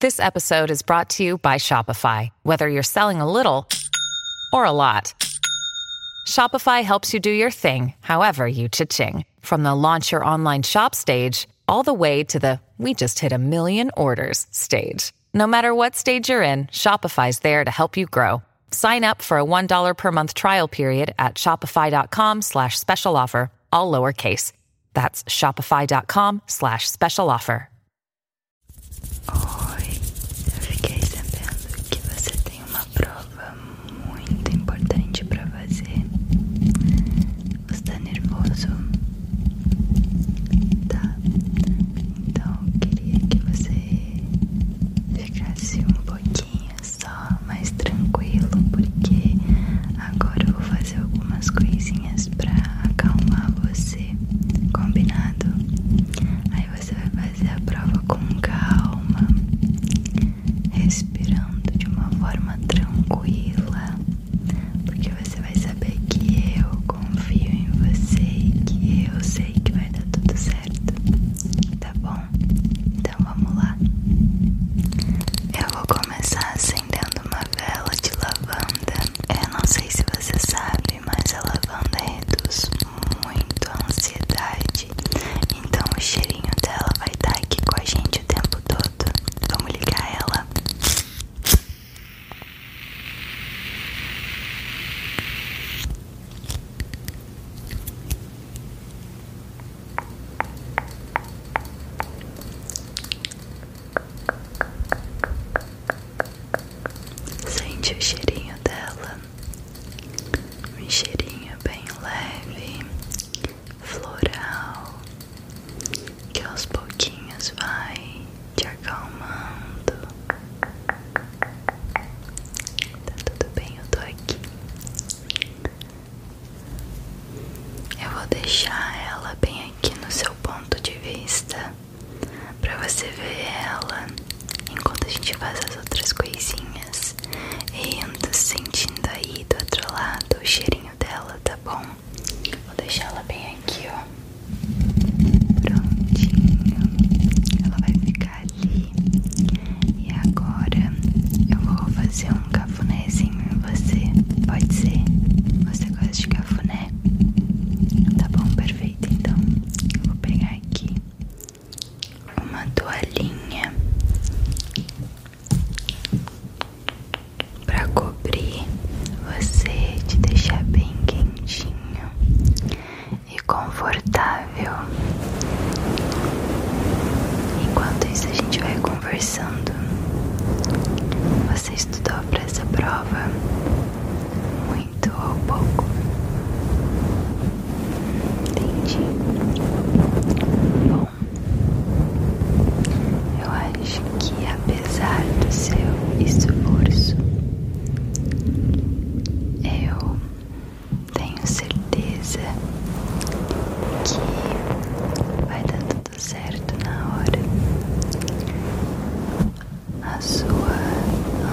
This episode is brought to you by Shopify. Whether you're selling a little or a lot, Shopify helps you do your thing, however you cha-ching. From the launch your online shop stage, all the way to the we just hit a million orders stage. No matter what stage you're in, Shopify's there to help you grow. Sign up for a $1 per month trial period at shopify.com slash special offer, all lowercase. That's shopify.com slash special offer. Oi, eu fiquei você tem uma prova muito importante para fazer. ¿eh? Você tá nervoso? Tá. Então queria que você ficasse eh, um pouquinho só mais tranquilo, porque agora vou fazer algumas coisinhas pra acalmar você, combinado? Aí você vai fazer a prova com calma, respirando de uma forma tranquila, porque você vai saber que eu confio em você e que eu sei que vai dar tudo certo, tá bom? Então vamos lá. Eu vou começar começar acendendo uma vela de lavanda. Eu não sei se você sabe, mas a lavanda reduz muito a ansiedade. Então o cheirinho dela vai estar tá aqui com a gente o tempo todo. Vamos ligar ela. Sente o cheirinho dela, um cheirinho bem leve, floral, que aos pouquinhos vai te acalmando. Tá tudo bem, eu tô aqui. Eu vou deixar ela bem aqui no seu ponto de vista para você ver ela enquanto a gente faz as outras coisinhas e indo sentindo aí do outro lado o cheirinho dela, tá bom? Vou deixar ela bem aqui, ó. Prontinho. Ela vai ficar ali. E agora eu vou fazer um um cafunézinho em você? Pode ser? Você gosta de cafuné? Tá bom, perfeito. Então, eu vou pegar aqui uma toalhinha para cobrir você, te deixar bem quentinho e confortável. Enquanto isso, a gente vai conversando. Você estudou para essa prova? Muito ou pouco? Entendi. Bom, eu acho que apesar do seu esforço, eu tenho certeza que vai dar tudo tudo tá certo na hora. A sua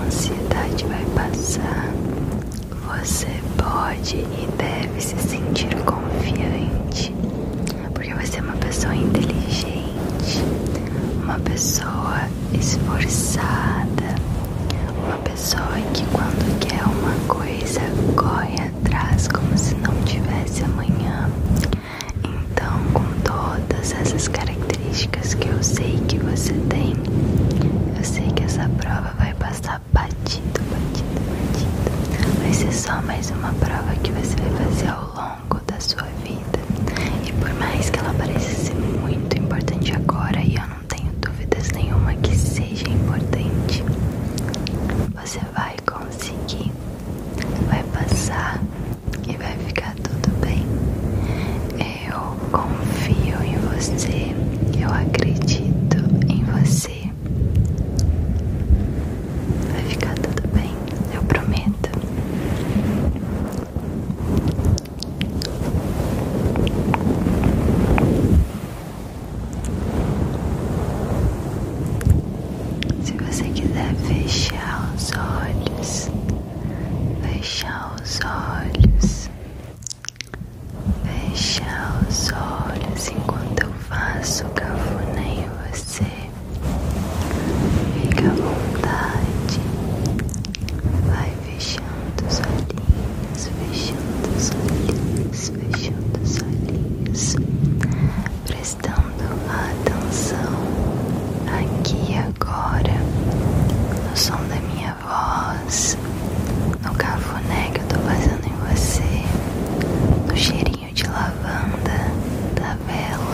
ansiedade vai passar. Você pode e deve se sentir confiante, porque você é uma pessoa inteligente, uma pessoa esforçada, uma pessoa que quando quer uma coisa corre atrás como se não tivesse amanhã. Então, com todas essas características que eu sei que você tem, eu sei que essa prova vai passar batido, batido, batido. Vai ser só mais uma prova que você vai fazer ao longo da sua vida. E por mais que ela pareça ser muito importante agora, e eu não tenho dúvidas nenhuma que seja importante, você vai vai conseguir, vai passar e vai ficar tudo bem. Eu confio em você, eu acredito em você. Vai ficar tudo bem, eu prometo. Se você quiser fechar os olhos, fechar os olhos, fechar os olhos enquanto eu faço cafona em você, fica à vontade, vai fechando os olhinhos, fechando os olhinhos fechando os olhos, prestando atenção aqui agora no som da minha voz, no cafuné que eu tô fazendo em você, no cheirinho de lavanda da vela.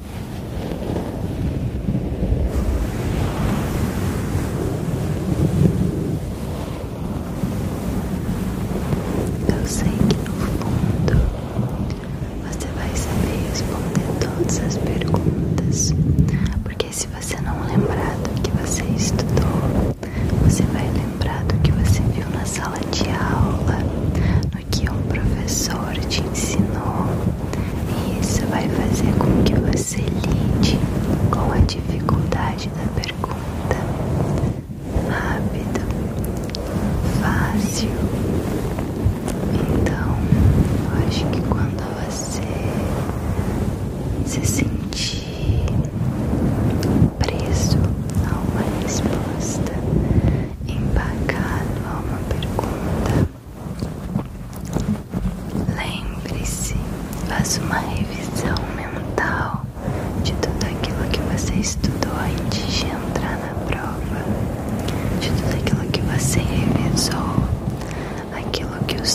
Eu sei que no fundo você vai saber responder todas as perguntas, porque se você não lembrar do que você estudou, você vai lembrar do que você viu na sala de aula, no que um professor te ensinou, e isso vai fazer com que você lide com a dificuldade da pergunta. Rápido, fácil. Então, acho que quando você se sentir preso a uma resposta, empacado a uma pergunta, Lembre-se, faça uma revisão mental de tudo aquilo que você estudou antes de entrar na prova, de tudo aquilo que você revisou, aquilo que os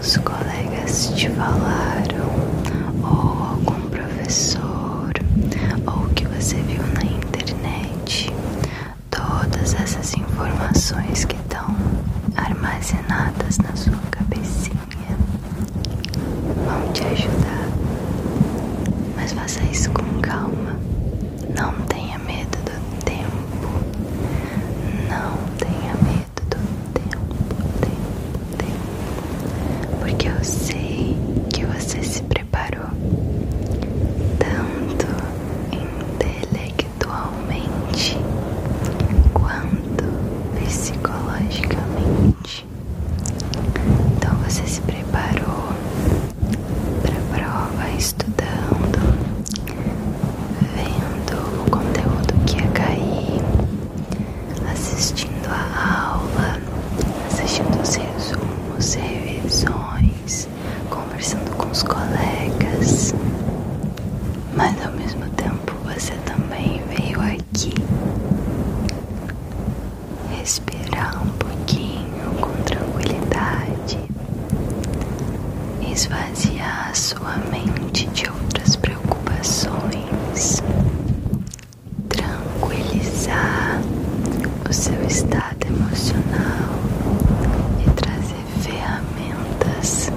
seus colegas te falaram, ou algum professor, ou o que você viu na internet, todas essas informações que estão armazenadas na sua cabecinha vão te ajudar. Mas faça isso com calma. Não tenha medo do tempo. Não tenha medo do tempo, tempo, tempo. Porque eu sei que você se preparou tanto intelectualmente quanto psicologicamente. Então você se preparou para a prova estudando, vendo o conteúdo que ia cair, assistindo a aula, assistindo os resumos, revisões conversando com os colegas, mas ao mesmo tempo você também veio aqui respirar um pouquinho com tranquilidade, esvaziar sua mente de outras preocupações tranquilizar o seu estado emocional e trazer ferramentas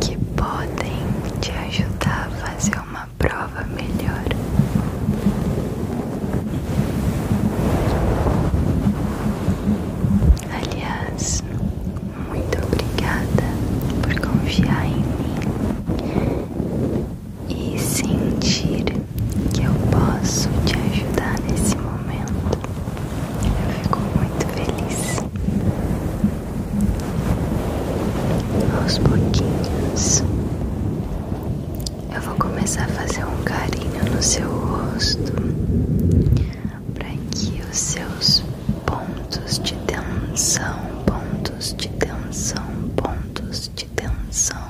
que podem te ajudar a fazer uma prova melhor. Aliás, muito obrigada por confiar em mim e sentir que eu posso te ajudar nesse momento, eu fico muito feliz. Aos pouquinhos, eu vou começar a fazer um carinho no seu rosto para que os seus pontos de tensão, pontos de tensão, pontos de tensão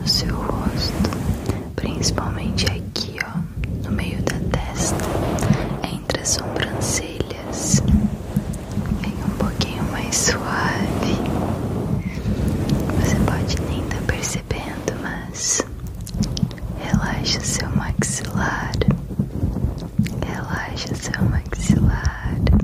no seu rosto, principalmente aqui, ó, no meio da testa, entre as sobrancelhas. Vem um pouquinho mais suave. Você pode nem estar tá percebendo, mas relaxa seu maxilar. Relaxa seu maxilar.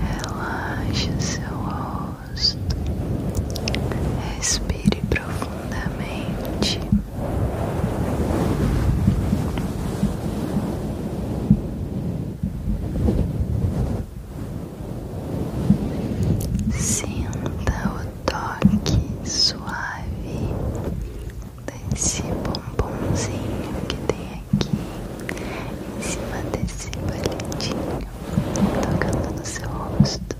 Relaxe seu rosto, respire profundamente. Sinta o toque suave desse bombonzinho que tem aqui em cima desse palitinho tocando no seu rosto.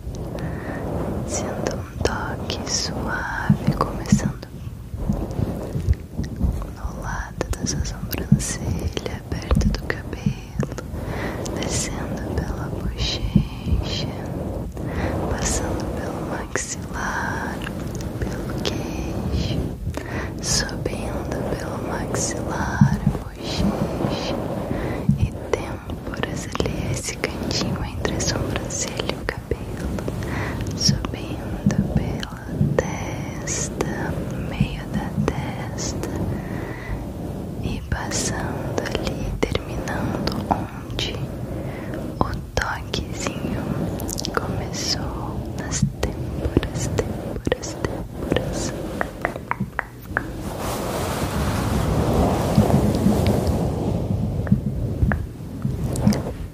Sinta um toque suave começando no lado da sua sobrancelha perto do cabelo descendo pela bochecha passando pelo maxilar pelo queixo subindo pelo maxilar bochecha e por ali esse cantinho entre a sobrancelha e o cabelo subindo pela testa, meio da testa e passando ali, terminando onde o toquezinho começou nas têmporas, têmporas, têmporas.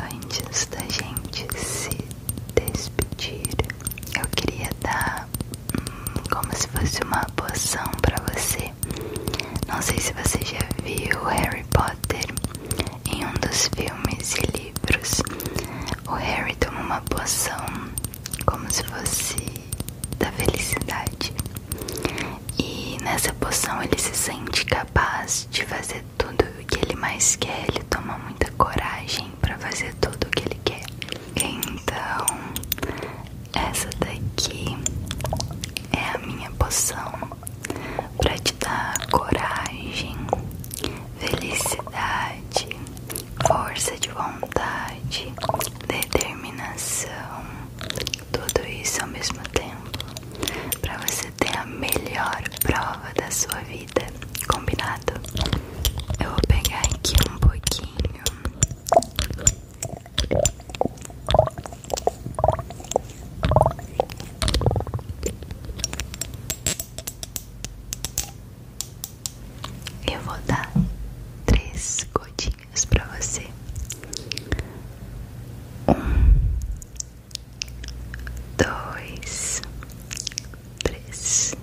Antes da gente se despedir, eu queria dar hum, como se fosse uma poção para você. Não sei se você já viu Harry Potter em um dos filmes e livros. O Harry toma uma poção como se fosse da felicidade. E nessa poção ele se sente capaz de fazer tudo o que ele mais quer. Ele toma muita coragem para fazer tudo o que ele quer. Então, essa daqui é a minha poção para te dar coragem, felicidade, força de vontade, determinação, tudo isso ao mesmo tempo, para você ter a melhor prova da sua vida, combinado? Eu vou pegar aqui um pouquinho. e vou dar três gotinhas para você. Um, dois, três,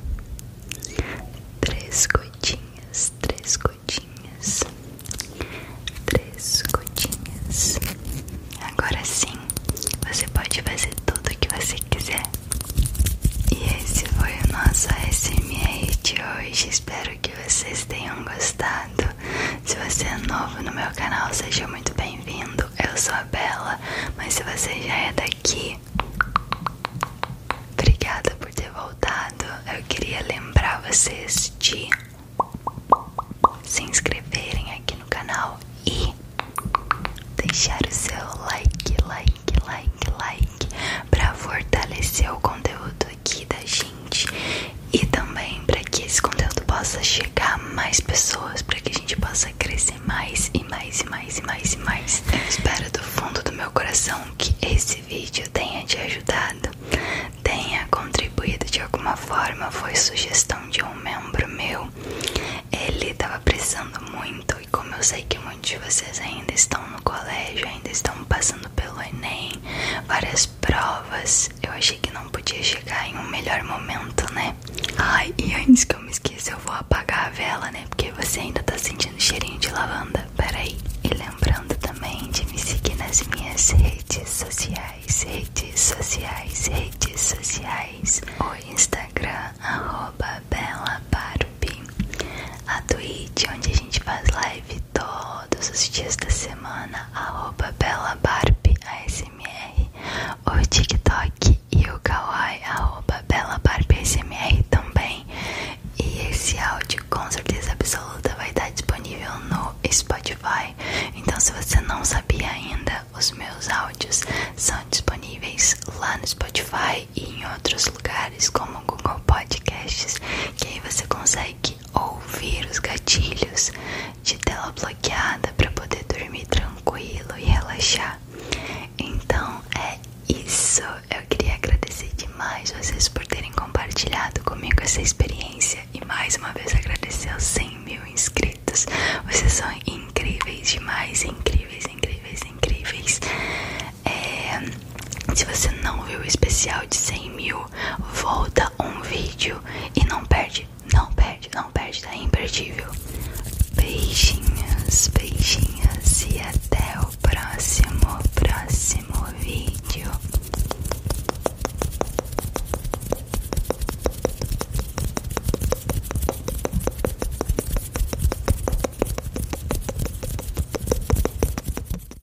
três gotinhas, três gotinhas, três gotinhas. Agora sim, você pode fazer tudo o que você quiser. E esse foi o nosso SMR de hoje. Espero que vocês tenham gostado. Se você é novo no meu canal, seja muito bem-vindo. Eu sou a Bela, mas se você já é daqui, obrigada por ter voltado. Eu queria lembrar vocês de se inscreverem aqui no canal e deixar o seu like, like, like, like para fortalecer o conteúdo aqui da gente e também para que esse conteúdo possa chegar a mais pessoas, para que a gente possa crescer mais e mais e mais e mais e mais. Eu espero do fundo do meu coração que esse vídeo tenha te ajudado, tenha contribuído de alguma forma. Foi sugestão de um membro meu. Ele tava precisando muito e como eu sei que muitos de vocês ainda estão no colégio, ainda estão passando pelo Enem, várias provas. Eu achei que não podia chegar em um melhor momento, né? Ai, e antes que eu me esqueça, eu vou apagar a vela, né? Porque você ainda tá sentindo cheirinho de lavanda. Peraí. E lembrando também de me seguir nas minhas redes sociais, redes sociais, redes sociais. O Instagram, arroba A Twitch, onde a gente faz live todos os dias da semana arroba o TikTok e o Kawaii arroba também. E esse áudio com certeza absoluta vai estar disponível no Spotify. Então se você não sabia ainda, os meus áudios são disponíveis lá no Spotify e em outros lugares como Google Podcasts, que aí você consegue ouvir os gatilhos de tela bloqueada para poder dormir tranquilo e relaxar. Então é isso. Eu queria agradecer demais vocês por terem compartilhado comigo essa experiência e mais uma vez agradecer aos 100 mil inscritos. Vocês são incríveis demais, incríveis, incríveis, incríveis. É, se você não viu o especial de 100 mil volta um vídeo e não perde, não perde, não perde, tá imperdível. Beijinhos, beijinhos e até o próximo, próximo vídeo.